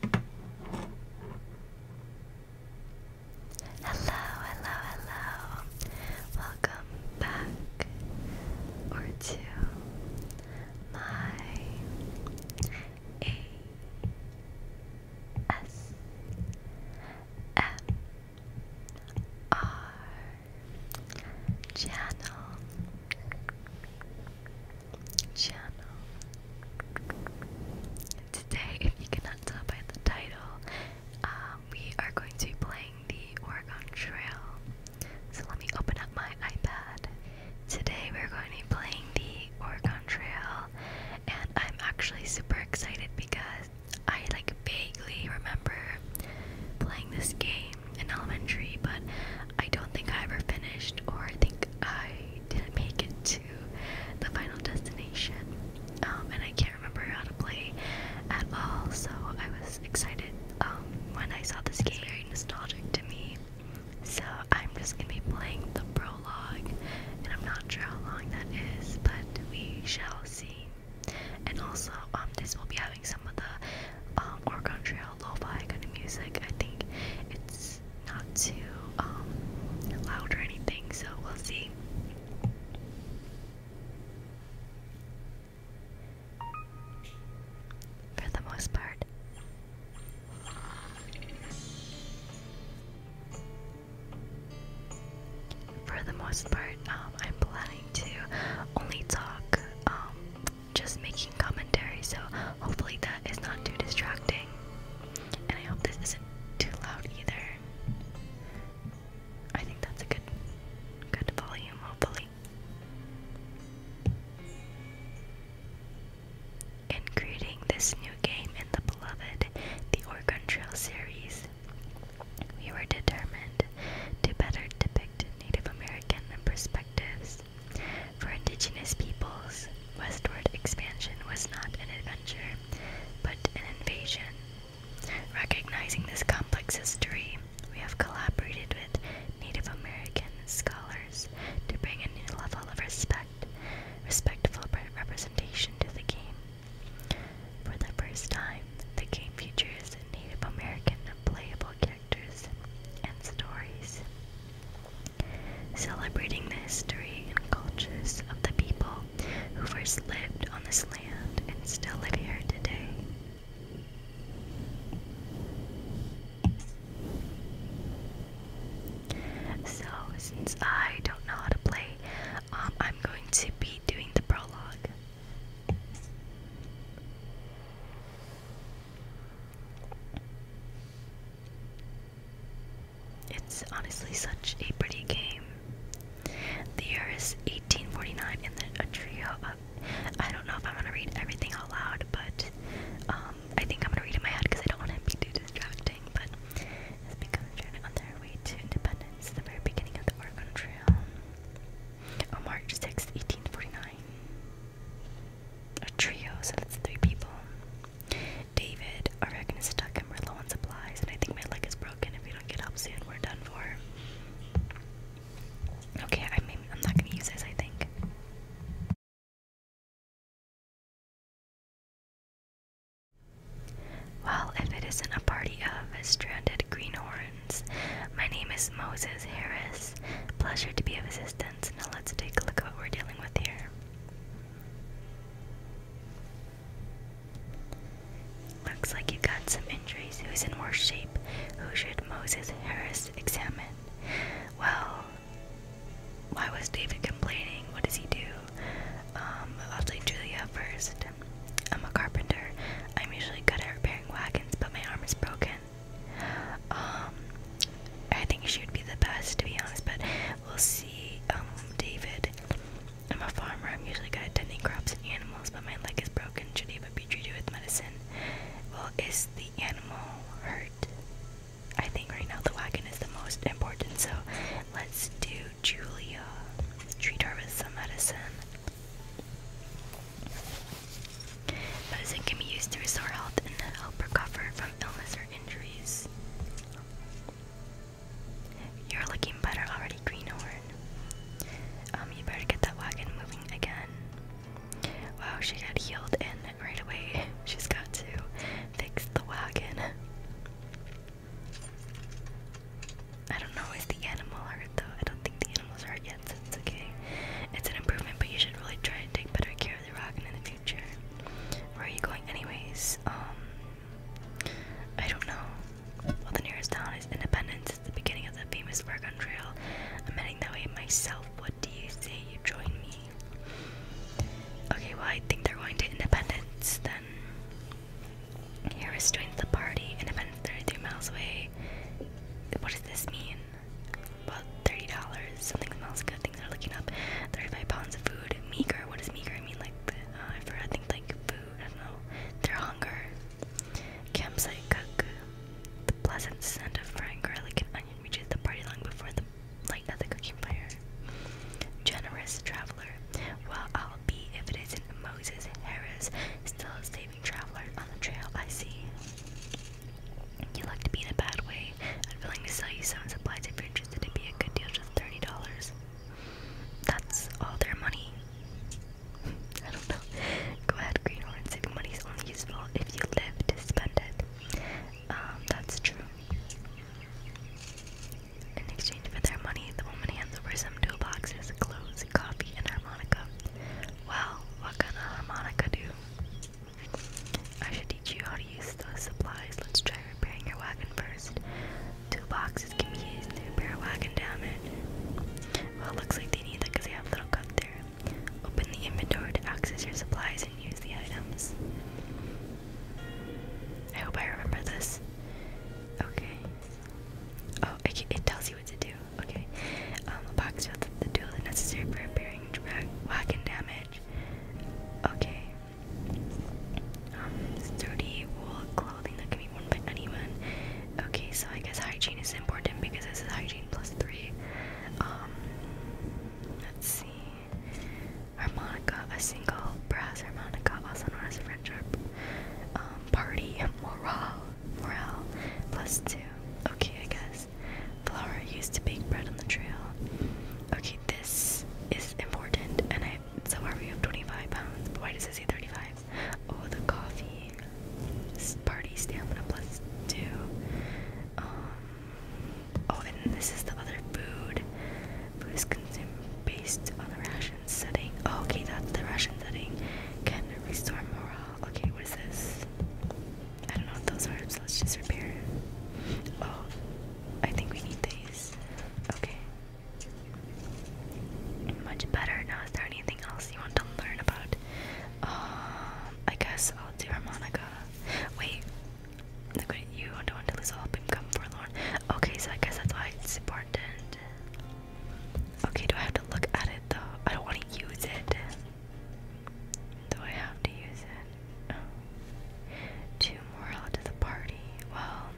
Hello, hello, hello. Welcome back to my A S M R channel channel. Today, if you cannot tell by the title, um, we are going to be playing the Oregon Trail. So let me open up my iPad. Today we're going to be playing the Oregon Trail, and I'm actually super excited because I like vaguely remember playing this game in elementary, but I don't think I ever finished, or I think I didn't make it to the final destination. Um, and I can't remember how to play at all, so I was excited um, when I saw this game. nostalgic to me. So I'm just gonna be playing the prologue, and I'm not sure how long that is, but we shall see. And also, um, this will be having some of the um, Oregon Trail lo-fi kind of music. I think it's not too um, loud or anything, so we'll see. For the most part. For the most part, um, I'm planning to only talk, um, just make commentary, so hopefully that is not too distracting. And I hope this isn't too loud either. I think that's a good good volume, hopefully. In creating this new game in the beloved The Oregon Trail series, we were determined to better depict Native American perspectives for indigenous peoples, westward expansion was not an adventure, but an invasion. Recognizing this complex history, we have collaborated with Native American scholars to bring a new level of respect, respectful representation to the game. For the first time, the game features Native American playable characters and stories celebrating the history and cultures of the people who first lived on this land and still live here today. So, since I don't know how to play, um, I'm going to be doing the prologue. It's honestly such a pretty game. The year is 1849, and the trio of. I don't know if I'm gonna read everything out loud, but um, I think I'm gonna read in my head because I don't want to be too distracting. But it's become a journey on their way to independence, the very beginning of the Oregon Trail, on March 6, 1849 a trio, so that's three people. David, our reckon is stuck and we're low on supplies, and I think my leg is broken. If we don't get help soon, we're done for. Okay, I am not gonna use this, I think. Well, if it isn't a party of stranded greenhorns, my name is Moses Harris. Pleasure to be of assistance distance. Now let's take a look at what we're dealing with here. Looks like you got some injuries. Who's in worse shape? Who should Moses Harris examine? Well, why was David complaining? What does he do? Um, I'll take Julia first. I'm a carpenter. I'm usually good at repairing wagons, but my arm is broken. Um, I think she would be the best to be honest, but we'll see. Um, David, I'm a farmer. I'm usually good at tending crops and animals, but my leg is broken. Should Eva be treated with medicine? Well, is the animal hurt? I think right now the wagon is the most important, so let's do Julia. Treat her with some medicine. Medicine can be used to restore health and help recover from illness or injuries. You're looking better already, Greenhorn. Um, you better get that wagon moving again. Wow, she got healed and right away she's got to fix the wagon. I don't know, is the animal hurt though? I don't think the animals hurt yet, so it's okay. It's an improvement, but you should really try and take better care care of in the future. Where are you going anyways? Um, I don't know. Well, the nearest town is Independence. It's the beginning of the famous Oregon Trail. I'm heading that way myself. What do you say you join me? Okay, well, I think they're going to Independence then. Harris joins the party. Independence 33 miles away. What does this mean? about thirty dollars. Something smells good. Things are looking up. Thirty-five pounds of food. Meager. What is meager? I mean, like uh, I forgot. I think like food. I don't know. Their hunger. Campsite cook. The pleasant scent of frying garlic and onion reaches the party long before the light of the cooking fire. Generous traveler. Well, I'll be if it isn't Moses Harris, still a saving traveler on the trail. I see. You like to be in a bad way. I'm willing to sell you some supplies if you're interested. It'd be a good deal, just thirty dollars. That's all their money. I don't know. Go ahead, Greenhorn. Saving money is only useful if you live to spend it. Um, that's true. In exchange for their money, the woman hands over some toolboxes, clothes, coffee, and harmonica. Well, what can a harmonica do? I should teach you how to use the supplies. Let's try repairing your wagon first. Two boxes can be used to repair wagon damage. Well, looks like they need that they have little cut there. Open the inventory to access your supplies and use the items. I hope I remember this. Okay. Oh, it tells you what to do. Okay. Um, a box with the tool necessary for repairing range, and damage. Okay. Um, sturdy wool clothing that can be worn by anyone. Okay, so I guess hygiene is important because this is hygiene plus three. Um, let's see. Harmonica, a single brass harmonica, also known as um, party, morale, morale, plus two. Okay, I guess this. Flour used to bake bread on the trail. Okay, this is important. And I so far we have 25 pounds. But why does it say 35? Oh, the coffee. Party stamina plus two. Um, oh, and this is the other food. Food is consumed based on the ration setting. Oh, okay, that's the ration setting. Can restore morale. Okay, what is this? I don't know what those are, let's just repair. Oh, I think we need these. Okay. Much better. Now, is there anything else you want to learn about? Um, I guess I'll do harmonica. Wait, look at you. I don't want to lose all become forlorn. Okay, so I guess that's why it's important. Okay, do I have to look at it though? I don't want to use it. Do I have to use it? Oh. Two morale to the party. Well,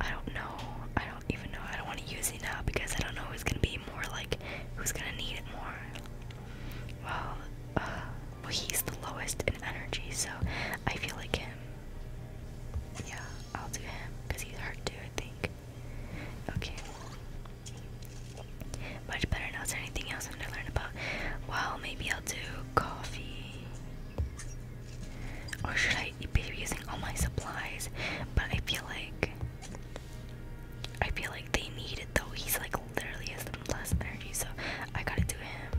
I don't know. I don't even know. I don't want to use it now because I don't know who's gonna be more like who's gonna need it more. Well, uh, well, he's the lowest in energy, so I feel like him. Yeah, I'll do him because he's hurt too. I think. Okay. Much better now. Is there anything else I want to learn about? Well, maybe I'll do coffee. Or should I be using all my supplies? But I feel like I feel like they need it though. He's like literally has the less energy, so I gotta do him.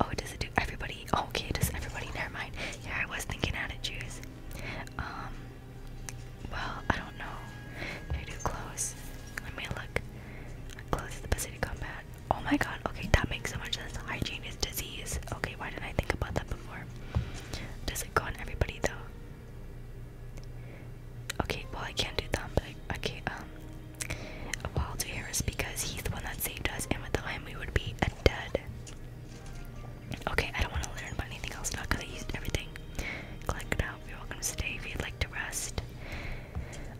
Oh, does it do everybody? Oh, okay, does everybody? Never mind. Yeah, I was thinking attitudes. Um, well, I don't know. I do close? Let me look. Close to the Pacific combat. Oh my god, okay, that makes so much sense. Hygiene is disease. Okay, why didn't I think about that before? Does it go on everybody though? Okay, well I can't do that, but I, okay, um well I'll do Harris because he's the one that saved us and without him we would be dead. Okay, I don't want to learn about anything else now because I used everything. Collect You're welcome to stay if you'd like to rest.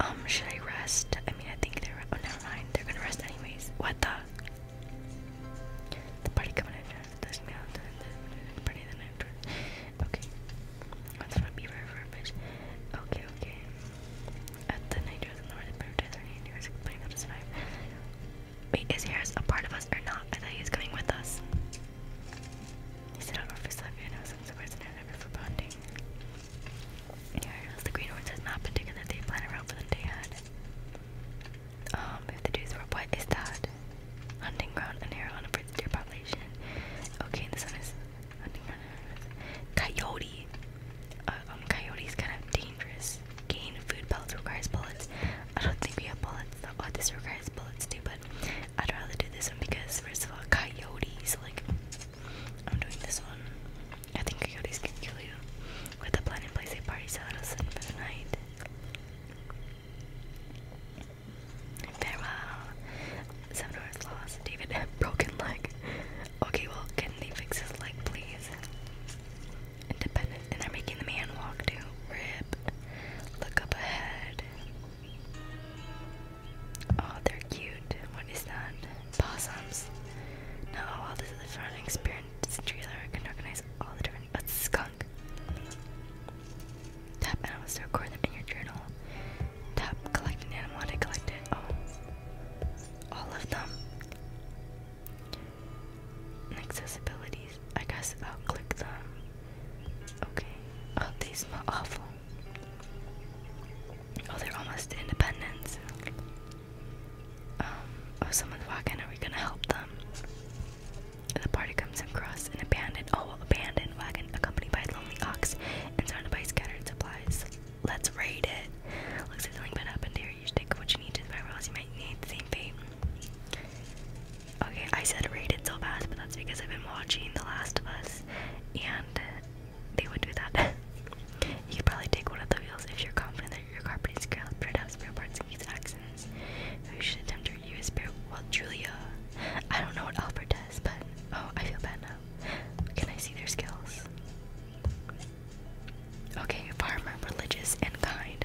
Um, should I rest? I mean, I think they're. Oh, never mind. They're gonna rest anyways. What the? The party coming after Okay. Okay, Wait, is Harris a part of us or not? I thought he was coming with us. the Green Horns not been they plan around for the day Um, if the dudes were what is that? Hunting ground and hair on a deer population. Okay, this one is hunting ground Coyote. Uh, um, coyote is kind of dangerous. Gain food pellets requires bullets. I don't think we have bullets though. Oh, requires bullets too, but I'd rather do this one because first of all, coyotes. Like I'm doing this one. I think coyotes can kill you. the plan in a party out of sleep for the night. Farewell. Seven hours lost. David broken leg. Okay, well, can they fix his leg, please? Independent, and they're making the man walk too. Rip. Look up ahead. Oh, they're cute. What is that? Possums. No, well, oh, this is a fun experience trailer. I can recognize all the different. Oh, skunk. Tap animals to record them in your journal. Tap collect an animal to collect it. Oh, all of them. Accessibilities. I guess I'll click them. Okay. Oh, these they smell awful. Oh, they're almost to independence. Um, oh, someone's walking. Are we gonna help them? The party comes across an abandoned, oh, abandoned wagon accompanied by a lonely ox and surrounded by scattered supplies. Let's raid it. Looks like something bad happened here. You stick what you need to survive, or else you might need the same fate. Okay, I said rated so fast, but that's because I've been watching The Last of Us, and they would do that. you could probably take one of the wheels if you're confident that your car pretty scale, put up spare parts in case Who should attempt to use spare? Well, Julia. I don't know what Alfred does, but oh, I feel bad now. Can I see their skills? Okay, farmer, religious, and kind.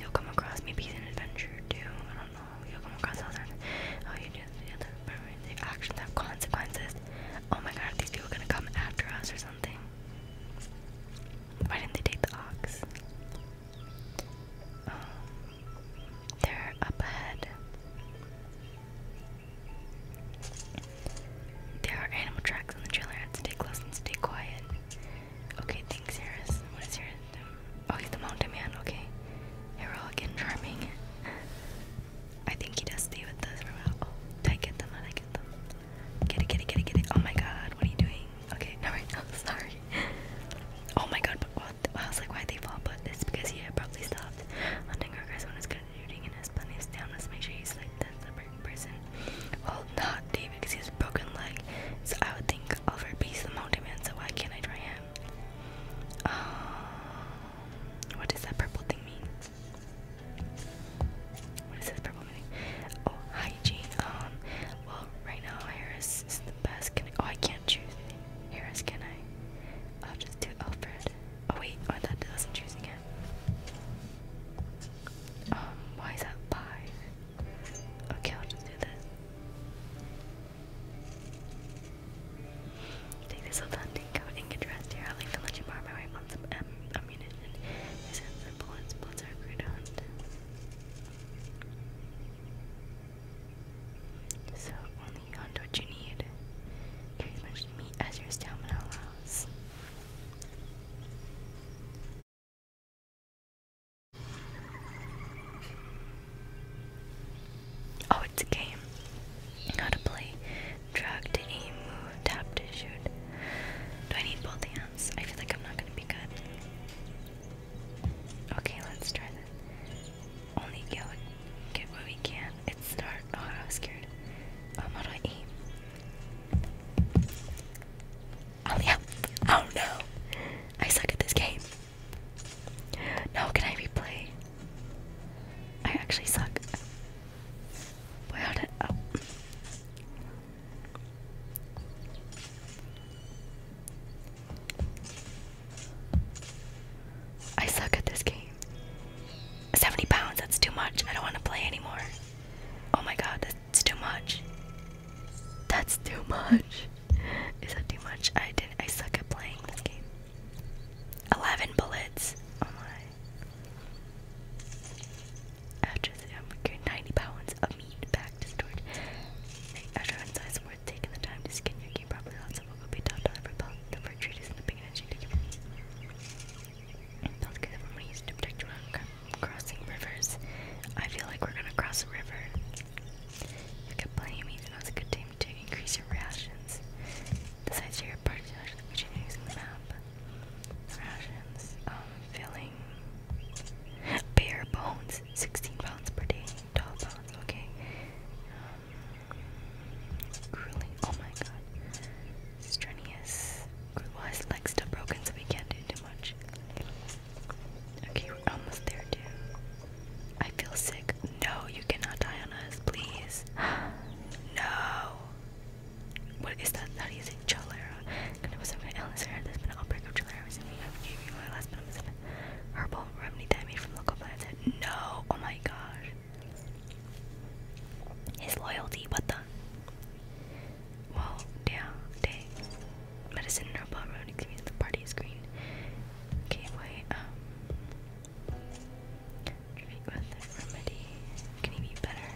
You'll come across maybe he's an adventure too. I don't know. You'll come across other. Oh, you do. Yeah, the actions have consequences. Oh my God, are these people gonna come after us or something? Why didn't they take the ox? Oh, they're up ahead. There are animal tracks on the trail. stay close and stay quiet. Okay, thanks, Harris. What is Harris? Oh, he's the mountain man. Okay. Heroic charming. I think he does stay with us for a while. Oh, did I get them? Did I get them? Get it, get it, get it, get it. Oh my god, what are you doing? Okay, no, right sorry. Oh my god, what? I was like, why they fall? But it's because he abruptly stopped. Hunting our when it's good at shooting plenty of stamina, so make sure you select the prison. Well, not David, because he has broken leg. So I would think Alfred beats the Mountain Man. So why can't I try him? Um, what does that purple thing mean? What this purple mean? Oh, hygiene. Um, well, right now Harris is the best. I, oh, I can't choose Harris. Can I? I'll just do Alfred. Oh wait, oh, that doesn't choose again. Um, why is that five? Okay, I'll just do this. Take this hunting coat and get dressed here. I'll even let you borrow my rifle and some um, ammunition. These are great So only you what you need. Carry as much meat as your stamina allows. Oh, it's a game. How to play. Drag to aim, tap to shoot. Do I need both hands? I feel like I'm not gonna be good. Okay, let's try that. Only get get what we can. It's dark. Oh, I was scared. how do I aim? Oh, oh no. I suck at this game. No, can I replay? I actually suck. Wait, oh. I suck at this game. 70 pounds, that's too much. I don't want to play anymore. Oh my god, that's too much. That's too much. Is that too much? I did I suck at playing this game. Eleven bullets. Oh my. After the um, ninety pounds of meat back to storage. After one worth taking the time to skin your game properly, lots of will be taught to repel the perpetrators in the beginning. That's good for money to protect your crossing rivers. I feel like we're gonna cross a river. You can play me, and it's a good time to increase your rations. Besides your party, which you're using the map. Rations, um, filling bare bones, 16 pounds per day, 12 pounds, okay. Um, grueling, oh my god. Strenuous, well leg's still broken so we can't too much. Okay, we're almost there, too. I feel sick. No, you cannot die on us, please. no. What is that? That is cholera. There's been an outbreak of cholera recently. remedy that from local plants. No, oh my gosh. His loyalty, what the? Well, yeah, dang. Medicine robot road examines the party screen. Okay, wait, um treat with a remedy. Can you be better?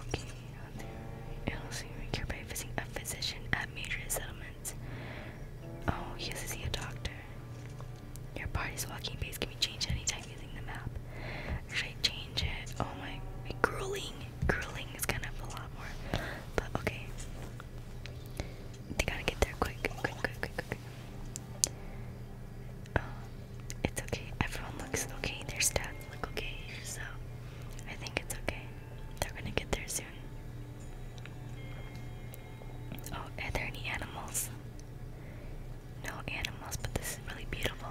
Okay, out there. It'll see we care by visiting a physician at major settlements. Oh, you have to see a doctor. Your party's walking pace can be changed anytime using the map. Should I change it? Oh my, my grueling grueling is kind of a lot more. But okay. They gotta get there quick, quick, quick, quick, quick. Um, it's okay. Everyone looks okay. Their stats look okay. So I think it's okay. They're gonna get there soon. Oh, are there any animals? No animals, but this is really beautiful.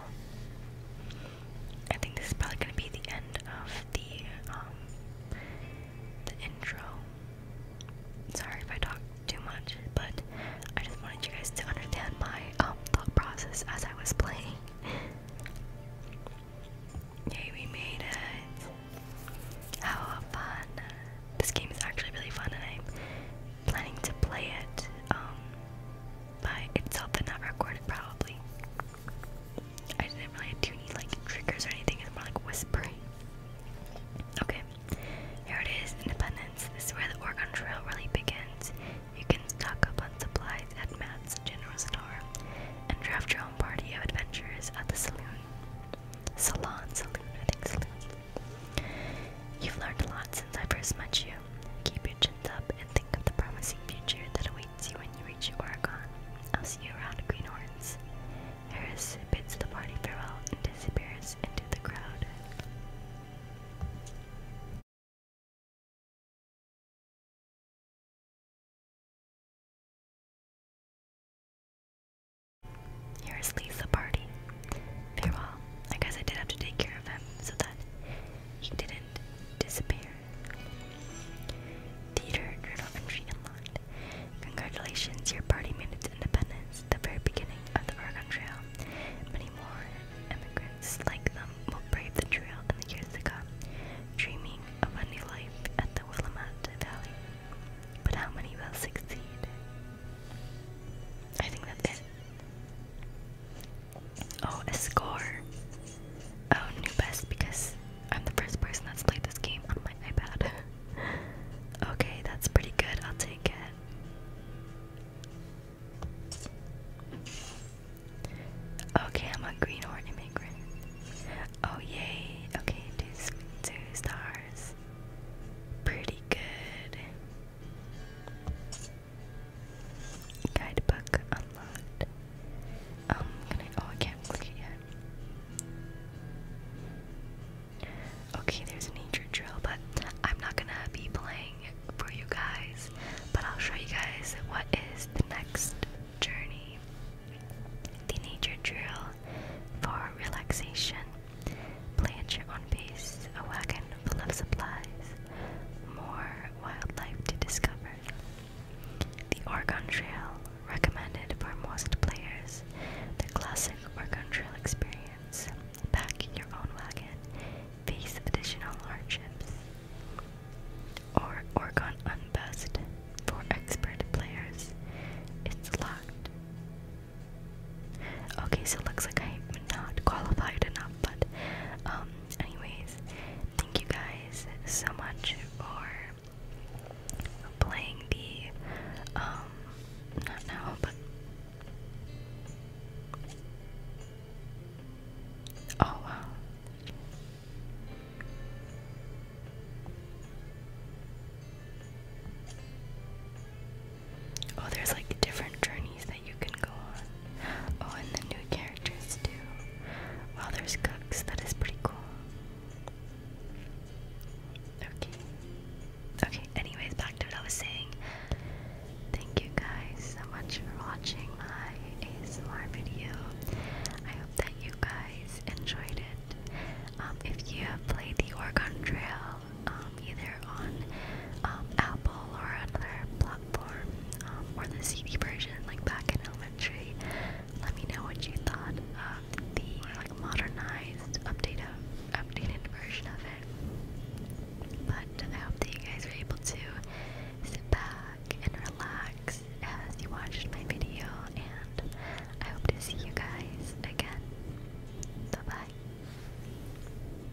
I think this is probably gonna be the end of the um the intro. Sorry if I talk too much, but I just wanted you guys to understand my um, thought process as I was playing. Yay, we made it. How fun. This game is actually really fun and I'm planning to play it um, by itself and not recorded probably. I didn't really do any like triggers or anything, it's more like whispering. Okay, here it is, Independence. This is where the Oregon Trail really begins. You can stock up on supplies at Matt's General Store and draft your own party of adventurers at the saloon. Salon, saloon, I think saloon. You've learned a lot since I first met you. Keep your chin up and think of the promising future that awaits you when you reach Oregon. I'll see you around Greenhorns. Harris bids the party farewell and disappears into the crowd. Harris leaves the party. Farewell. I guess I did have to take care of him so that he didn't disappear. Theater and Entry unlocked. Congratulations, your party made its independence, the very beginning of the Oregon Trail. Many more immigrants like them will brave the trail in the years to come, dreaming of a new life at the Willamette Valley. But how many will succeed? I think that's it. Oh, a score. Oh, new best because I'm the first person that's played this game on my iPad. okay, that's pretty good. I'll take it. Okay, I'm a greenhorn immigrant. Oh, yay. Okay, two, two stars. Pretty good. Guidebook unlocked. Um, I? Oh, I can't click it yet. Okay, there's a nature drill, but I'm not gonna be playing for you guys. But I'll show you guys what is the next journey. The nature drill for relaxation. Play a on base, a full of supplies, more wildlife to discover. The Oregon Trail, recommended by most players, the classic Oregon Trail experience. Pack your own wagon, face additional hardships. Or Oregon Unbest for expert players. It's locked. Okay, so looks like I'm not qualified enough but um, anyways, thank you guys so much for playing the um, not now, but oh Oh, there's like different journeys that you can go on. Oh, and the new characters too. Wow, there's cooks. That is pretty cool. Okay. Okay, anyways, back to what I was saying. Thank you guys so much for watching my ASMR video. I hope that you guys enjoyed it. Um, if you have played the Oregon Trail, um, either on um, Apple or another platform um, or the CD version like back in elementary. Let me know what you thought of the like modernized, updated, updated version of it. But I hope that you guys were able to sit back and relax as you watched my video, and I hope to see you guys again. Bye bye.